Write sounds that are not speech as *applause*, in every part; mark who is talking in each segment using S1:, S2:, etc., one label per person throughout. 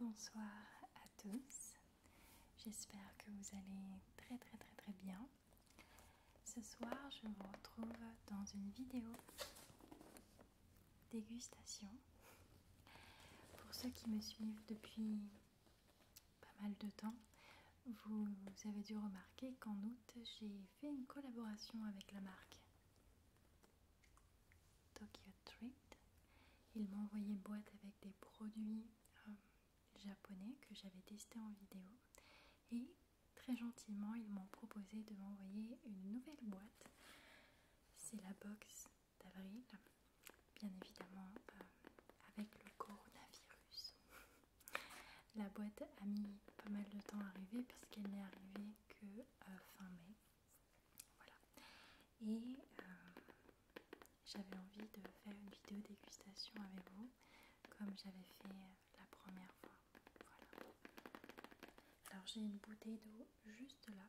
S1: Bonsoir à tous, j'espère que vous allez très très très très bien. Ce soir je vous retrouve dans une vidéo dégustation. Pour ceux qui me suivent depuis pas mal de temps, vous, avez dû remarquer qu'en août j'ai fait une collaboration avec la marque Tokyo Treat. Ils m'ont envoyé une boîte avec des produits euh, japonais que j'avais testé en vidéo et très gentiment ils m'ont proposé de m'envoyer une nouvelle boîte. C'est la box d'avril, bien évidemment euh, avec le coronavirus. *laughs* La boîte a mis pas mal de temps à arriver qu'elle n'est arrivée que euh, fin mai. Voilà. Et euh, j'avais envie de faire une vidéo dégustation avec vous comme j'avais fait la première fois. Voilà. Alors j'ai une bouteille d'eau juste là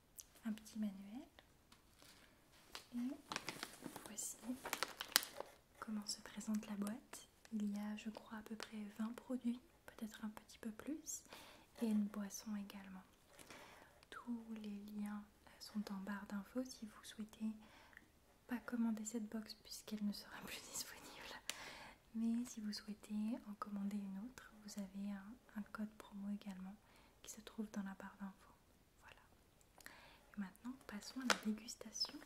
S1: un petit manuel. Et voici comment se présente la boîte. Il y a, je crois, à peu près 20 produits, peut-être un petit peu plus, et une boisson également. Tous les liens euh, sont en barre d'infos si vous souhaitez pas commander cette box puisqu'elle ne sera *laughs* plus disponible. Mais si vous souhaitez en commander une autre, vous avez un, un code promo également qui se trouve dans la barre d'infos. Voilà. maintenant, passons à la dégustation.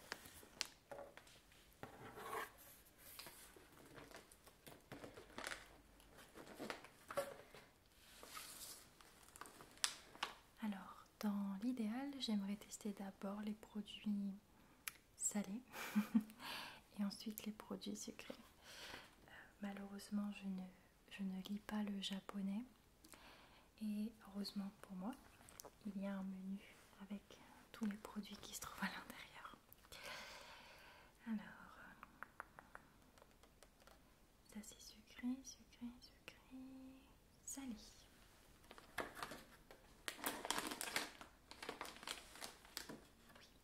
S1: Alors, dans l'idéal, j'aimerais tester d'abord les produits salés *laughs* et ensuite les produits sucrés. Euh, malheureusement, je ne, ne lis pas le japonais et heureusement pour moi, il y a un menu avec tous les produits qui se trouvent à l'intérieur. Alors, ça c'est sucré, sucré, sucré, salé. Oui,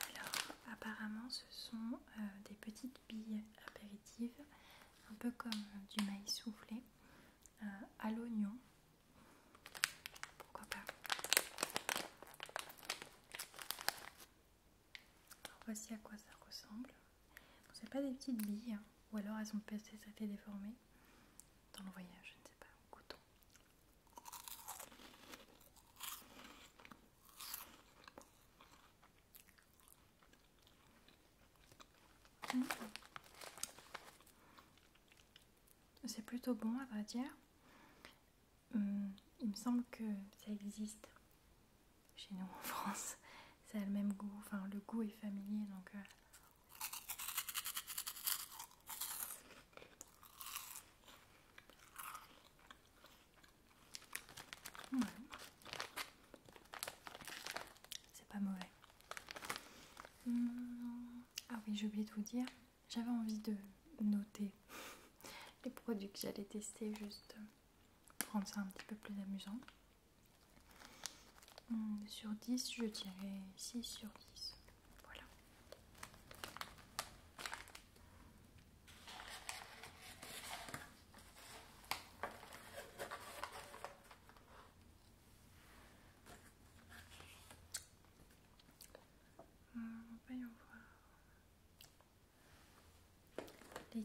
S1: Alors, apparemment, ce sont euh, des petites billes apéritives, un peu comme du maïs soufflé, euh, à l'oignon. Pourquoi pas Voici à quoi ça ressemble. Ce sont pas des petites billes, hein. ou alors elles ont peut-être été déformées dans le voyage, je ne sais pas, coton. C'est plutôt bon à vrai dire. Hum, il me semble que ça existe chez nous en France. Ça a le même goût, enfin le goût est familier donc. Euh. C'est pas mauvais. Hmm. ah oui, j'ai oublié de vous dire. J'avais envie de noter *laughs* les produits que j'allais tester juste pour rendre ça un petit peu plus amusant. Hmm, sur 10, je dirais 6 sur 10. Voilà. Euh, va voyons voir les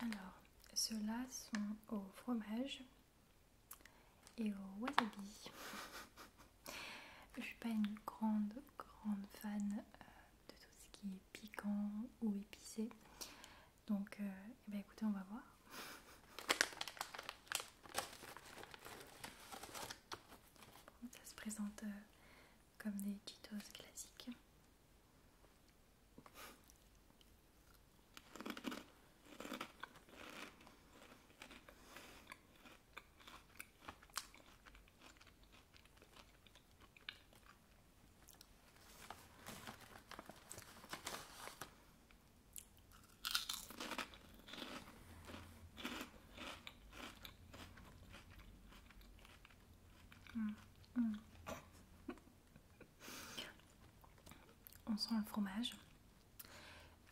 S1: Alors, ceux-là sont au fromage et au wasabi. Je suis pas une grande, grande fan euh, de tout ce qui est piquant ou épicé. Donc, euh, eh ben, écoutez, on va voir. Ça se présente euh, comme des Cheetos classiques. Mm, mm. on sent le fromage.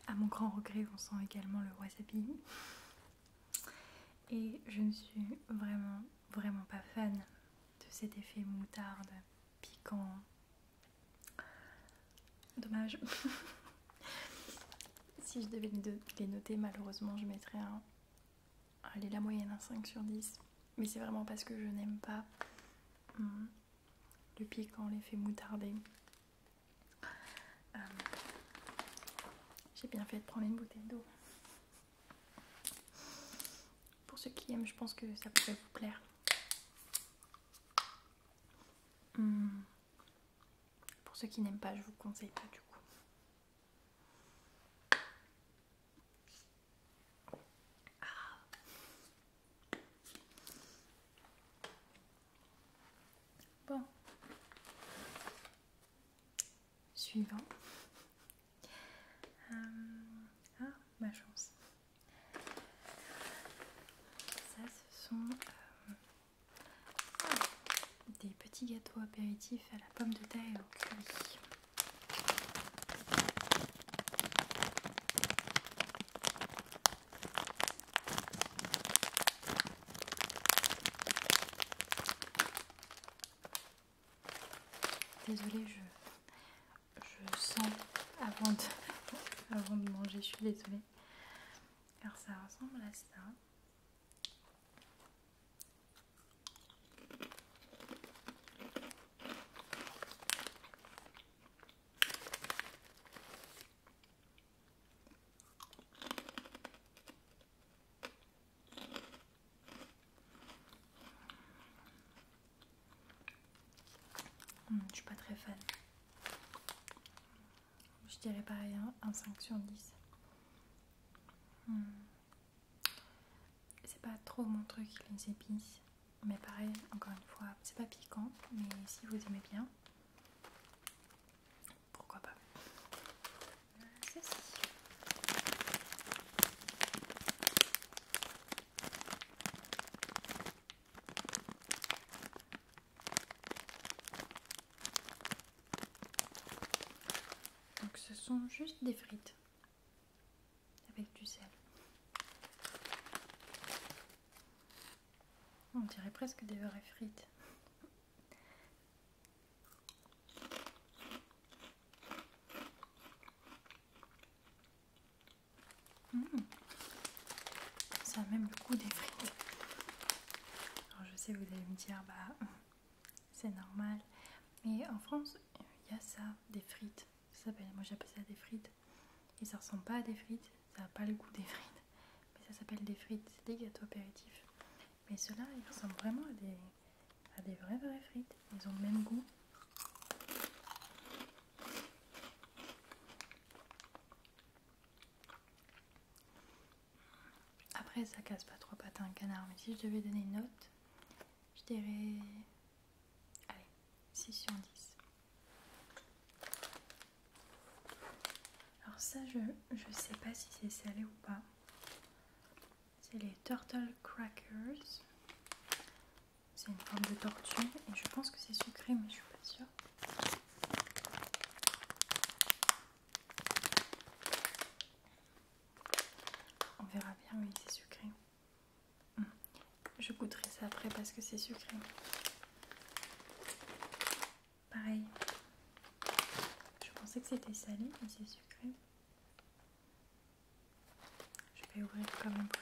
S1: À mon grand regret, on sent également le wasabi. Et je ne suis vraiment, vraiment pas fan de cet effet moutarde piquant. Dommage. *laughs* si je devais les noter, malheureusement, je mettrais un elle est la moyenne, un hein, 5 sur 10. Mais c'est vraiment parce que je n'aime pas hmm, le piquant, l'effet fait euh, J'ai bien fait de prendre une bouteille d'eau. Pour ceux qui aiment, je pense que ça pourrait vous plaire. Hmm. Pour ceux qui n'aiment pas, je vous conseille pas du coup. Ah. Bon. Suivant. Euh, ah, ma chance. Ça, ce sont euh, des petits gâteaux apéritifs à la pomme de terre et au curry. Désolée, je, je sens avant de, *laughs* avant de manger, je suis désolée. Alors ça ressemble à ça. Hmm, je suis pas très fan. Je dirais pareil, hein, un, 5 sur 10. Hmm. C'est pas trop mon truc, les épices. Mais pareil, encore une fois, c'est pas piquant, mais si vous aimez bien, pourquoi pas. Donc ce sont juste des frites avec du sel. On dirait presque des vraies frites. Mmh. Ça a même le goût des frites. Alors je sais, vous allez me dire, bah, *laughs* c'est normal. Mais en France, il y a ça, des frites. Ça s'appelle, moi j'appelle ça des frites. Et ça ressemble pas à des frites, ça n'a pas le goût des *laughs* frites. Mais ça s'appelle des frites, c'est des gâteaux apéritifs. Mais ceux-là, ils ressemblent vraiment à des, à des vraies vraies frites. Ils ont le même goût. Après, ça casse pas trois pattes un canard, mais si je devais donner une note, je dirais. Allez, 6 sur 10. Alors, ça, je, je sais pas si c'est salé ou pas. C'est les Turtle Crackers. C'est une forme de tortue et je pense que c'est sucré, mais je suis pas sûre. On verra bien, oui, c'est sucré. Hum. Je goûterai ça après parce que c'est sucré. Pareil. Je pensais que c'était salé, mais c'est sucré. Je vais ouvrir comme on pour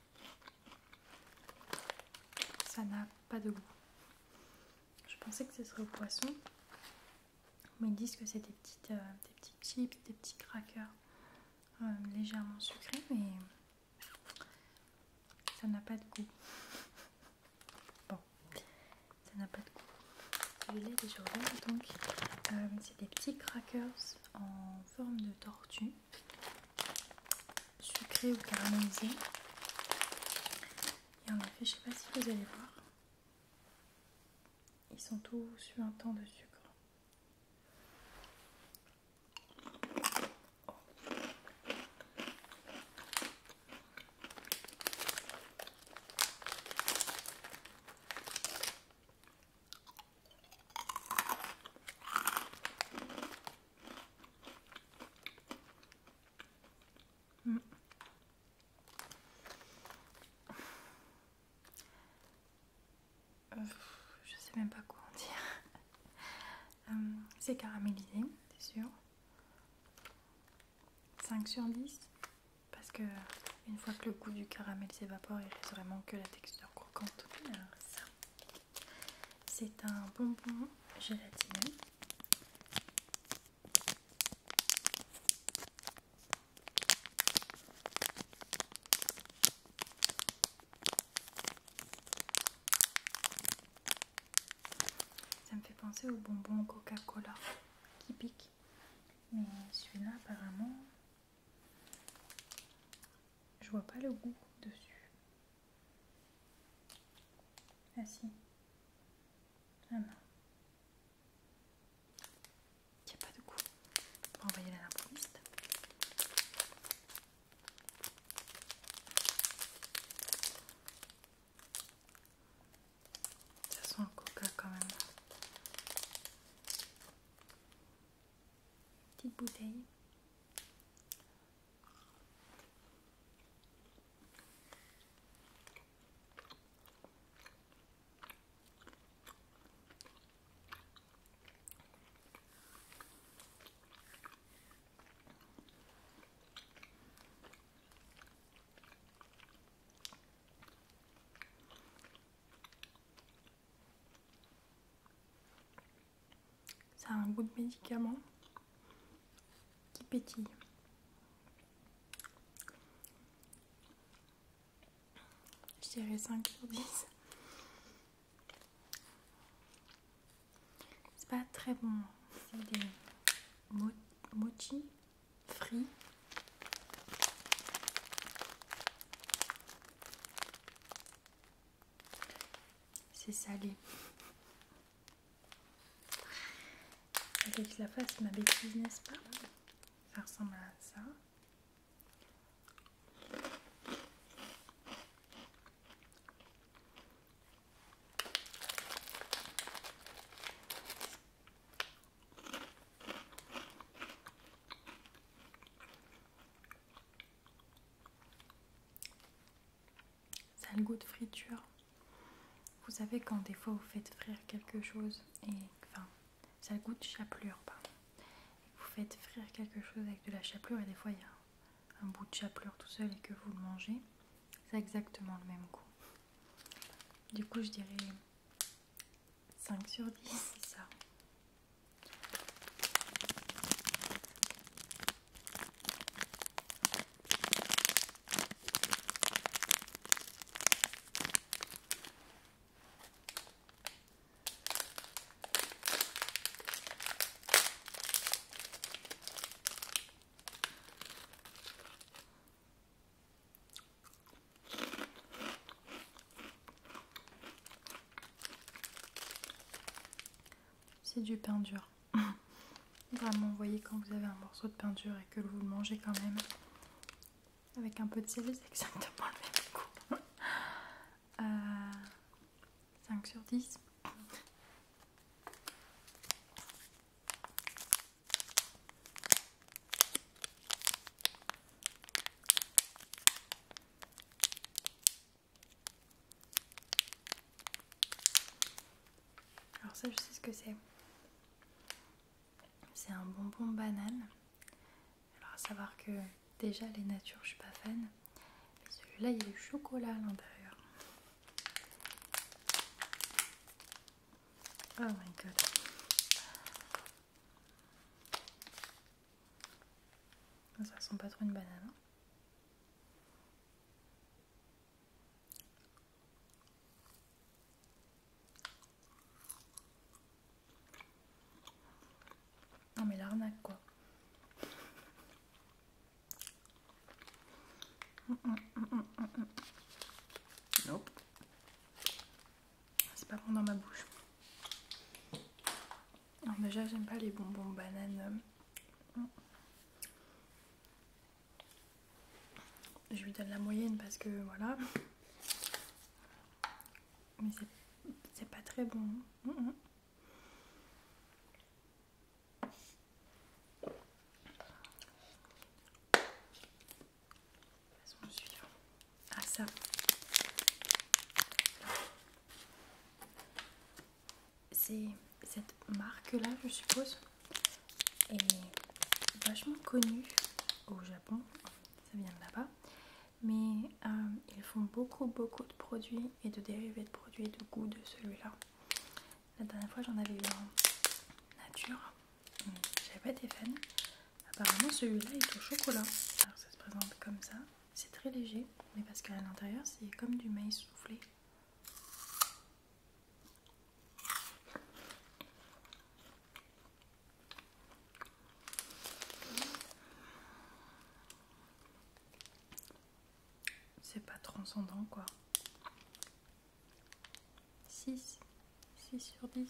S1: Ça n'a pas de goût. Je pensais que ce serait au poisson, mais ils disent que c'est des, euh, des petits chips, des petits crackers euh, légèrement sucrés, mais ça n'a pas de goût. *laughs* bon, ça n'a pas de goût. Celui-là, déjà regarde donc, euh, c'est des petits crackers en forme de tortue sucré ou caramélisé. Et en effet, je ne sais pas si vous allez voir, ils sont tous un temps de sucre. Euh, je sais même pas quoi en dire. *laughs* Euh, c'est caramélisé, c'est sûr. 5 sur 10. Parce que une fois que le goût du caramel s'évapore, il reste vraiment que la texture croquante. ça, c'est un bonbon gélatineux. Ça me fait penser au bonbon Coca-Cola qui pique. Mais celui-là apparemment je vois pas le goût dessus. Ah si. Ah non. Il n'y a pas de goût. On va envoyer la l'improviste. Ça sent un coca quand même. Petite bouteille. Ça un goût de médicament qui pétille. Je dirais 5 sur 10. C'est pas très bon. C'est des mochi frits. C'est salé. Avec la face, ma bêtise, n'est-ce pas Ça ressemble à ça. Ça a le goût de friture. Vous savez quand des fois vous faites frire quelque chose et enfin ça a le goût de chapelure Vous faites frire quelque chose avec de la chapelure et des fois il y a un bout de chapelure tout seul et que vous le mangez. C'est exactement le même goût. Du coup je dirais 5 sur 10, c'est ça. C'est du pain dur. *laughs* Vraiment, vous voyez quand vous avez un morceau de pain dur et que vous le mangez quand même avec un peu de sel, c'est exactement le même goût. 5 *laughs* euh, sur 10. Alors ça, je sais ce que c'est. C'est un bonbon banane. Alors à savoir que déjà les natures, je suis pas fan. celui-là, il y a du chocolat à l'intérieur. Oh my god. Ah, ça sent pas trop une banane. Hein. non mais l'arnaque quoi. Hum, hum, hum, non. C'est pas bon dans ma bouche. déjà j'aime pas les bonbons bananes. Je lui donne la moyenne parce que voilà. Mais c'est pas très bon suivant. Ah ça. C'est cette marque là je suppose est vachement connue au Japon, ça vient de là-bas. Mais euh, ils font beaucoup beaucoup de produits et de dérivés de produits de goût de celui-là. La dernière fois j'en avais eu en nature, hmm, j'avais pas des fans. Apparemment, celui-là est au chocolat. Alors, ça se présente comme ça. C'est très léger, mais parce qu'à l'intérieur, c'est comme du maïs soufflé. C'est pas transcendant, quoi. 6, 6 sur 10.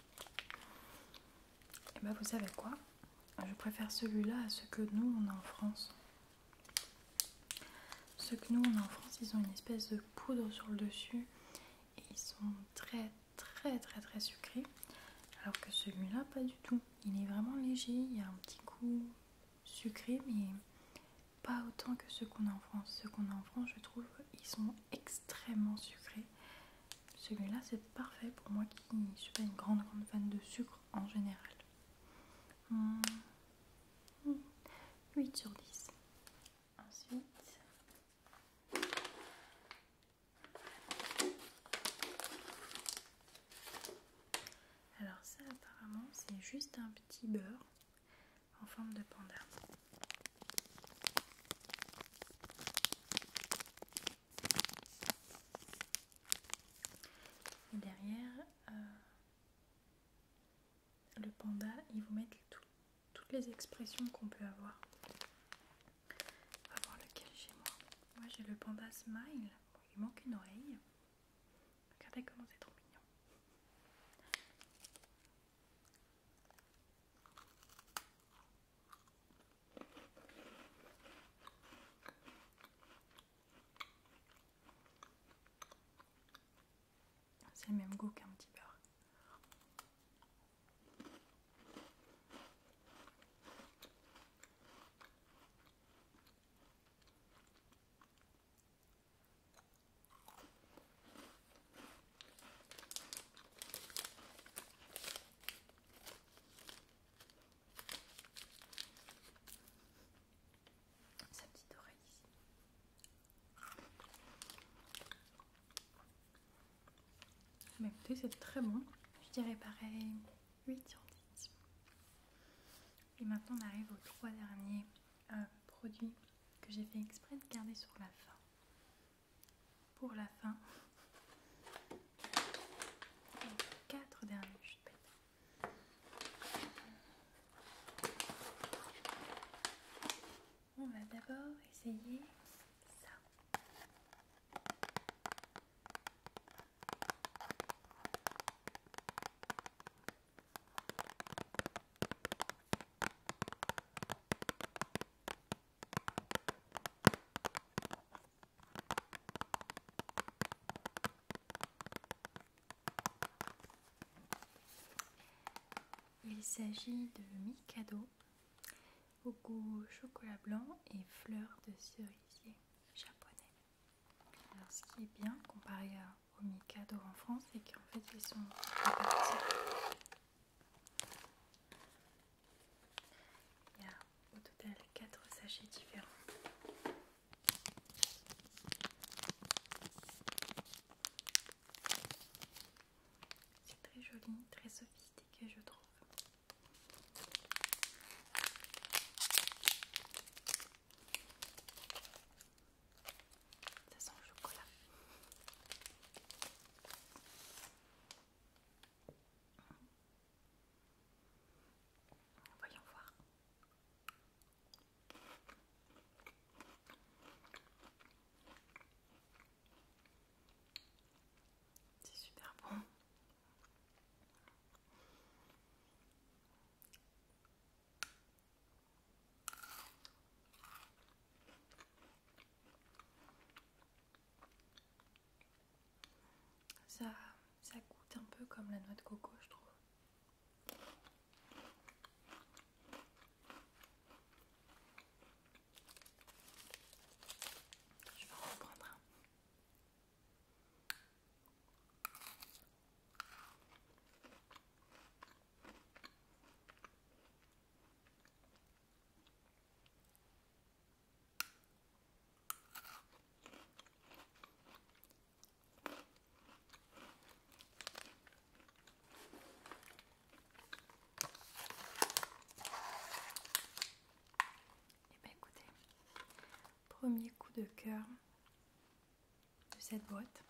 S1: Et eh bah ben, vous savez quoi Je préfère celui-là à ce que nous on a en France. Ceux que nous on a en France, ils ont une espèce de poudre sur le dessus et ils sont très très très très sucrés. Alors que celui-là, pas du tout. Il est vraiment léger, il y a un petit coup sucré, mais pas autant que ceux qu'on a en France. Ceux qu'on a en France, je trouve, ils sont extrêmement sucrés. Celui-là, c'est parfait pour moi qui ne suis pas une grande, grande fan de sucre en général. 8 hmm. hmm. sur 10. Ensuite, alors ça apparemment c'est juste un petit beurre en forme de panda. Et derrière, euh, le panda, il vous met toutes les expressions qu'on peut avoir. On va voir lequel chez moi. Moi j'ai le panda smile. il manque une oreille. Regardez comment c'est trop mignon. C'est le même goût qu'un petit beurre. Sa petite oreille ici. Mais écoutez, c'est très bon. Je dirais pareil 8 sur 10. Et maintenant, on arrive aux trois derniers euh, produits que j'ai fait exprès de garder sur la fin pour la fin. quatre derniers, On va d'abord essayer ça. Il s'agit de Mikado au goût chocolat blanc et fleurs de cerisier japonais. ce qui est bien comparé au Mikado en France, c'est qu'en fait ils sont répartis il y a au total quatre sachets différents. C'est très joli, très sophistiqué je trouve. Ça sent le chocolat. Voyons voir. C'est super bon. Ça, coûte un peu comme la noix de coco, je trouve. Je et eh bien écoutez, premier coup de cœur de cette boîte,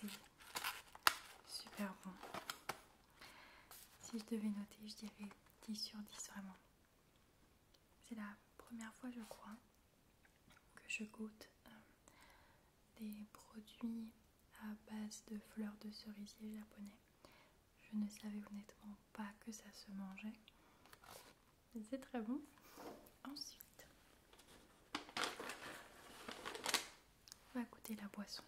S1: c'est Super bon. Si je devais noter, je dirais 10 sur 10 vraiment. C'est la première fois, je crois, que je goûte euh, des produits à base de fleurs de cerisier japonais. Je ne savais honnêtement pas que ça se mangeait. C'est très bon. Ensuite, on va goûter la boisson.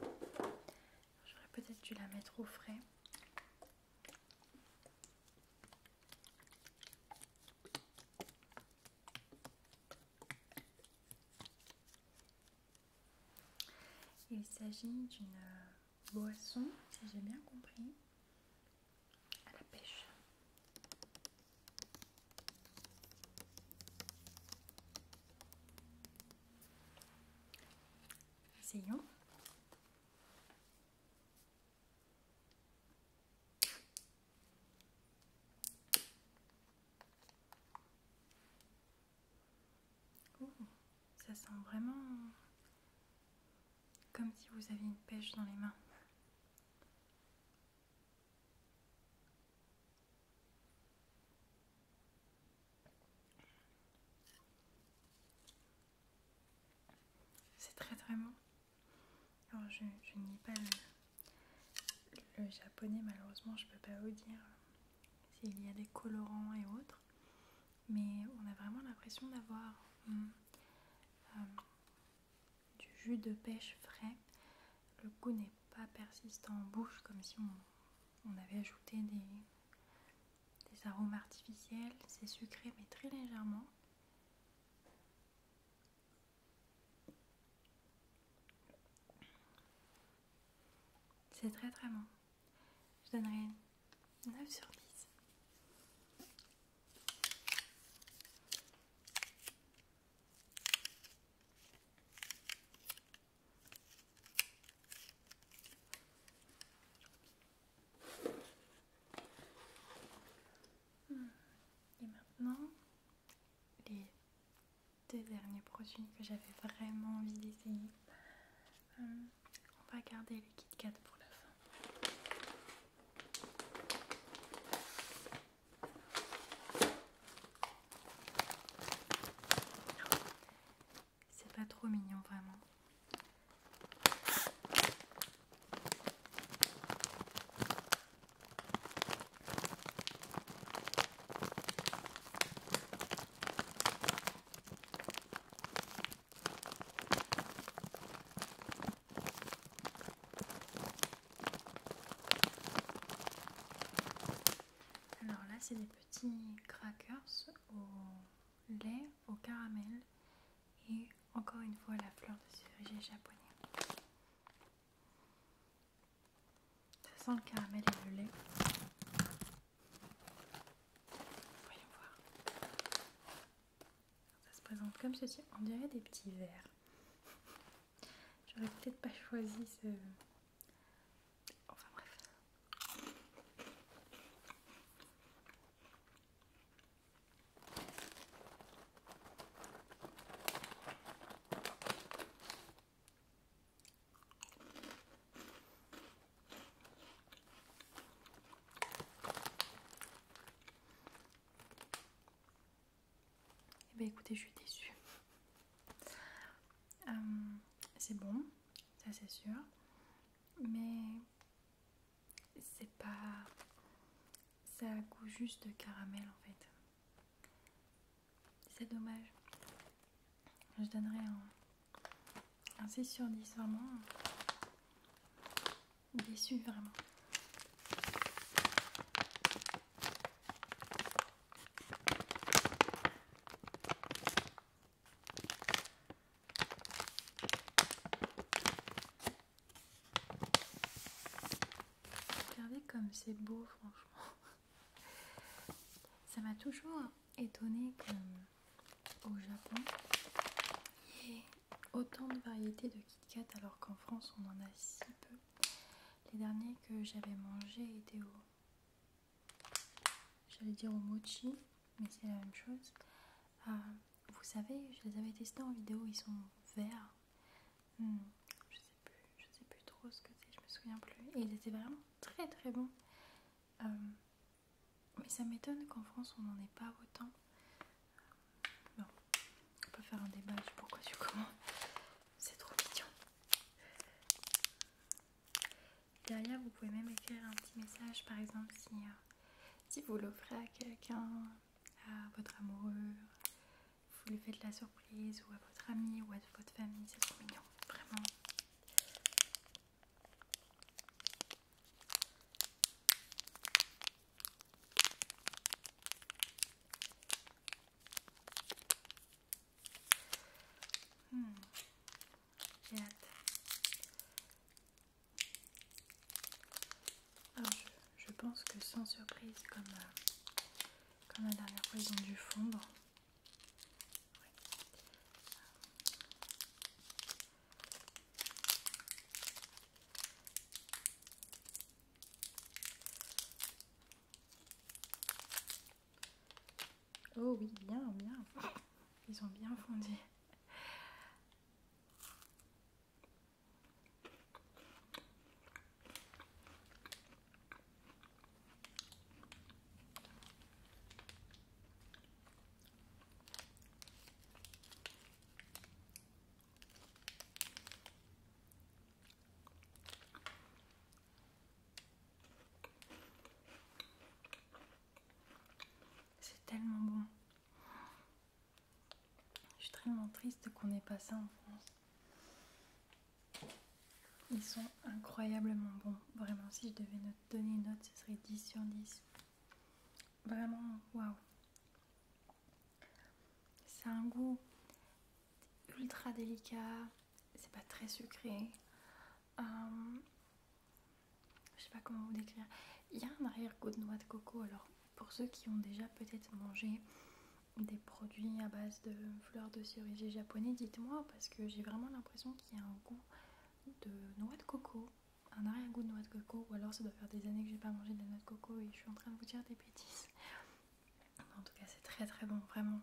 S1: J'aurais peut-être dû la mettre au frais. Il s'agit d'une boisson, si j'ai bien compris, à la pêche. Essayons. ça sent vraiment comme si vous aviez une pêche dans les mains. C'est très très bon. Alors je, ne lis pas le, japonais malheureusement je ne peux pas vous dire s'il y a des colorants et autres. Mais on a vraiment l'impression d'avoir hmm, euh, du jus de pêche frais. Le goût n'est pas persistant en bouche comme si on, avait ajouté des, des arômes artificiels. C'est sucré mais très légèrement. C'est très très bon. Je donnerai 9 sur 10. Et maintenant, les deux derniers produits que j'avais vraiment envie d'essayer. Euh, on va garder les Kit pour la fin. C'est pas trop mignon vraiment. Alors là, c'est des petits crackers au lait, au caramel et encore une fois la fleur de cerisier japonais. Ça sent le caramel et le lait. Voyons voir. Ça se présente comme ceci, on dirait des petits verres. *laughs* J'aurais peut-être pas choisi ce. Enfin bref. Eh bien écoutez, je suis déçue. Euh, c'est bon, ça c'est sûr. Mais c'est pas... Ça goût juste de caramel en fait. C'est dommage. Je donnerais un, un 6 sur 10 vraiment déçu vraiment. Regardez comme c'est beau, franchement. Ça m'a toujours étonné comme, au Japon, autant de variétés de Kit Kat alors qu'en France on en a si peu. Les derniers que j'avais mangés étaient au. J'allais dire au mochi, mais c'est la même chose. Ah, vous savez, je les avais testés en vidéo, ils sont verts. Hmm, je sais plus, je sais plus trop ce que c'est, je me souviens plus. Et ils étaient vraiment très très bons. Euh, mais ça m'étonne qu'en France on n'en ait pas autant. Euh, bon, on peut faire un débat du pourquoi, du comment. C'est trop mignon. Derrière, vous pouvez même écrire un petit message, par exemple, si, euh, si vous l'offrez à quelqu'un, à votre amoureux, vous lui faites la surprise, ou à votre ami, ou à votre famille. C'est trop mignon, vraiment. Hmm. je, pense que sans surprise, comme, euh, comme la dernière fois, ils ont fondre. Oh oui, bien, bien. Ils ont bien fondu. C'est tellement bon. Je suis tellement triste qu'on n'ait pas ça en France. Ils sont incroyablement bons. Vraiment, si je devais donner une note, ce serait 10 sur 10. Vraiment, waouh. C'est un goût ultra délicat, c'est pas très sucré. Euh, je sais pas comment vous décrire. Il y a un arrière-goût de noix de coco. Alors, pour ceux qui ont déjà peut-être mangé des produits à base de fleurs de cerisier japonais, dites-moi parce que j'ai vraiment l'impression qu'il y a un goût de noix de coco un arrière-goût de noix de coco, ou alors ça doit faire des années que j'ai pas mangé de noix de coco et je suis en train de vous dire des bêtises. En tout cas, c'est très très bon, vraiment.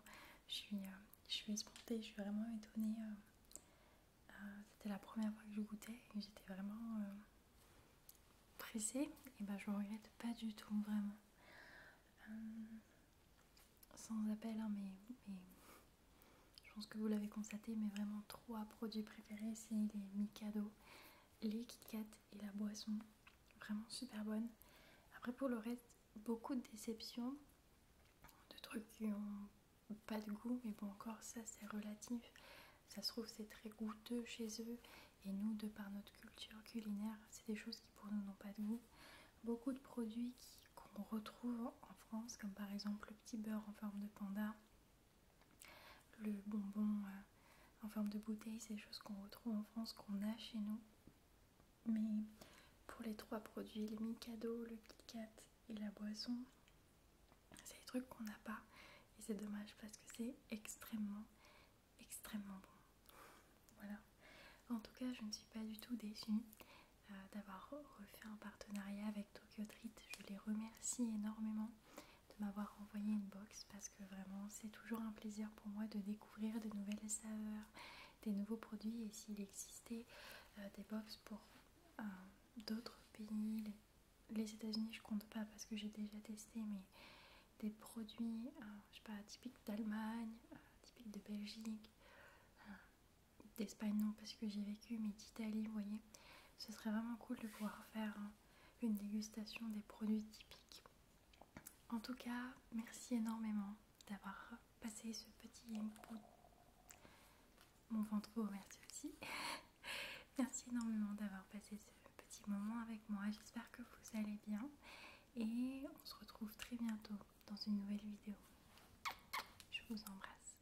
S1: Je suis, euh, je suis espantée, je suis vraiment étonnée. Euh, euh, c'était la première fois que je goûtais et j'étais vraiment pressée. Et ben, je regrette pas du tout, vraiment. sans appel, hein, mais, mais je pense que vous l'avez constaté, mais vraiment trois produits préférés c'est les Mikado, les Kit Kat et la boisson. Vraiment super bonne. Après pour le reste, beaucoup de déceptions, de trucs qui ont pas de goût, mais bon encore ça c'est relatif. Ça se trouve c'est très goûteux chez eux et nous de par notre culture culinaire, c'est des choses qui pour nous n'ont pas de goût. Beaucoup de produits qu'on retrouve en France, comme par exemple le petit beurre en forme de panda le bonbon euh, en forme de bouteille, c'est des choses qu'on retrouve en France, qu'on a chez nous. Mais pour les trois produits, le Mikado, le Kit Kat et la boisson, c'est des trucs qu'on n'a pas. Et c'est dommage parce que c'est extrêmement, extrêmement bon. Voilà. En tout cas, je ne suis pas du tout déçue euh, d'avoir refait un partenariat avec Tokyo Treat. Je les remercie énormément de m'avoir envoyé une box parce que vraiment c'est toujours un plaisir pour moi de découvrir de nouvelles saveurs, des nouveaux produits et s'il existait euh, des box pour euh, d'autres pays, les, États-Unis je compte pas parce que j'ai déjà testé mais des produits euh, je pas typiques d'Allemagne, typique typiques de Belgique, d'Espagne non parce que j'ai vécu mais d'Italie, vous voyez ce serait vraiment cool de pouvoir faire hein, une dégustation des produits typiques. En tout cas, merci énormément d'avoir passé ce petit Mon ventre aussi. *laughs* merci énormément d'avoir passé ce petit moment avec moi. J'espère que vous allez bien. Et on se retrouve très bientôt dans une nouvelle vidéo. Je vous embrasse.